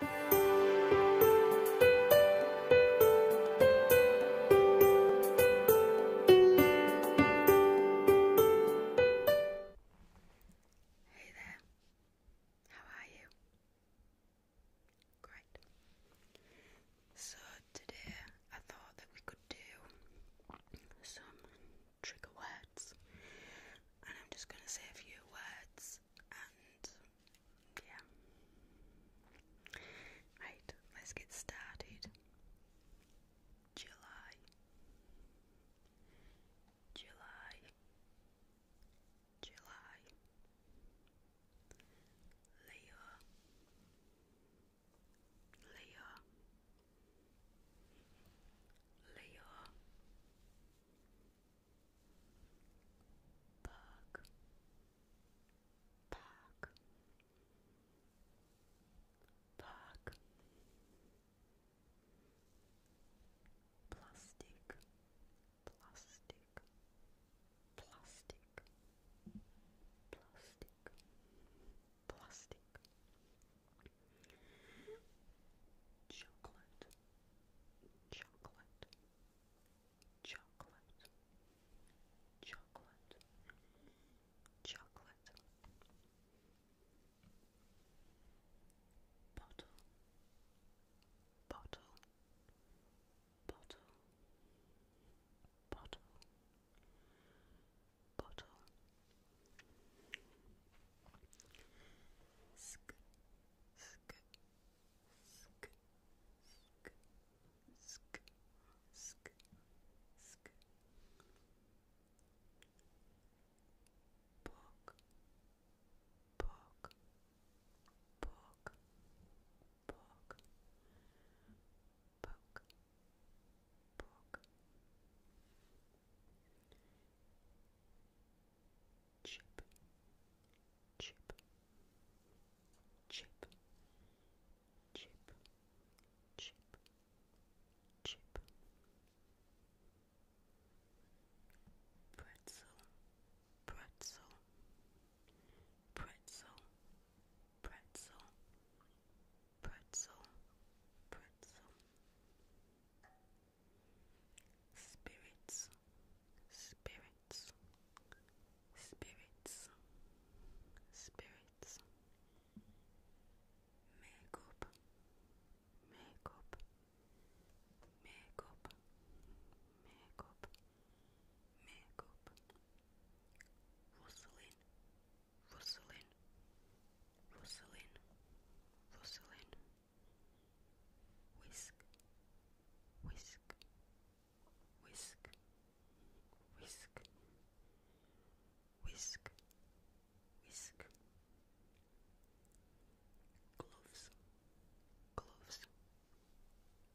Hey there, how are you? Great. So, today I thought that we could do some trigger words, and I'm just going to say a few words and yeah. Right, let's get started. July, July, July, Leo, Leo. Leo Bug Bug Bug Plastic Plastic Plastic Plastic Plastic Chocolate, chocolate, chocolate, chocolate, chocolate. Bottle, bottle, bottle, bottle bottle. Sk, sk, sk, sk, sk, sk, sk. Poke, poke, poke, poke, poke, poke. Chip, chip, chip, chip, chip, chip. Pretzel, pretzel, pretzel, pretzel, pretzel, pretzel, spirits, spirits, spirits, spirits, makeup, makeup, makeup, makeup makeup, rustling, rustling, rustling, rustling, whisk, whisk, whisk, whisk, whisk, whisk, gloves gloves,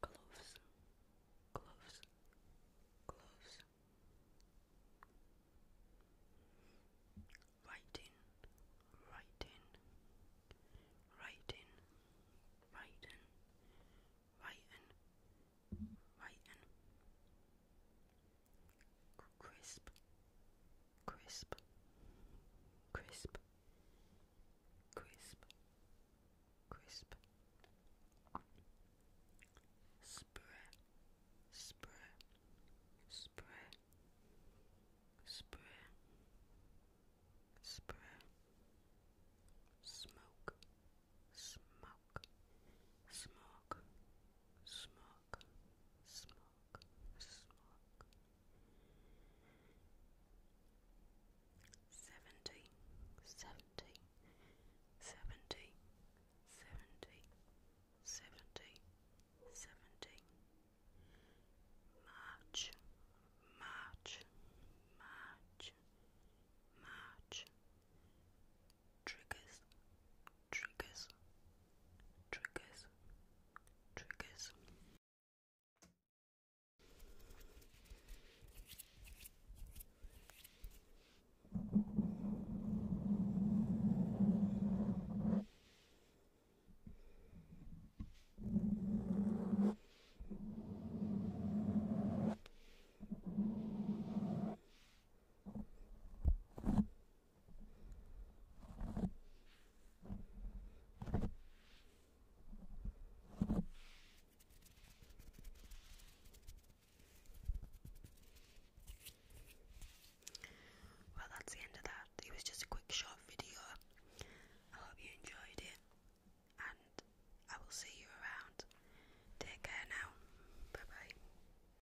gloves, gloves, gloves. Writing, writing, writing, writing, writing, writing. Crisp, crisp, crisp, crisp, crisp, spray, spray, spray, spray, spray, smoke, smoke, smoke, smoke, smoke. Monk. Mrs. Monk. Seventy, seventy, seventy, seventy, seventy, seventy. March, March, March, March. Triggers, triggers, triggers, triggers. Well, that's the end of that. It was just a quick short video. I hope you enjoyed it, and I will see you around. Take care now. Bye bye.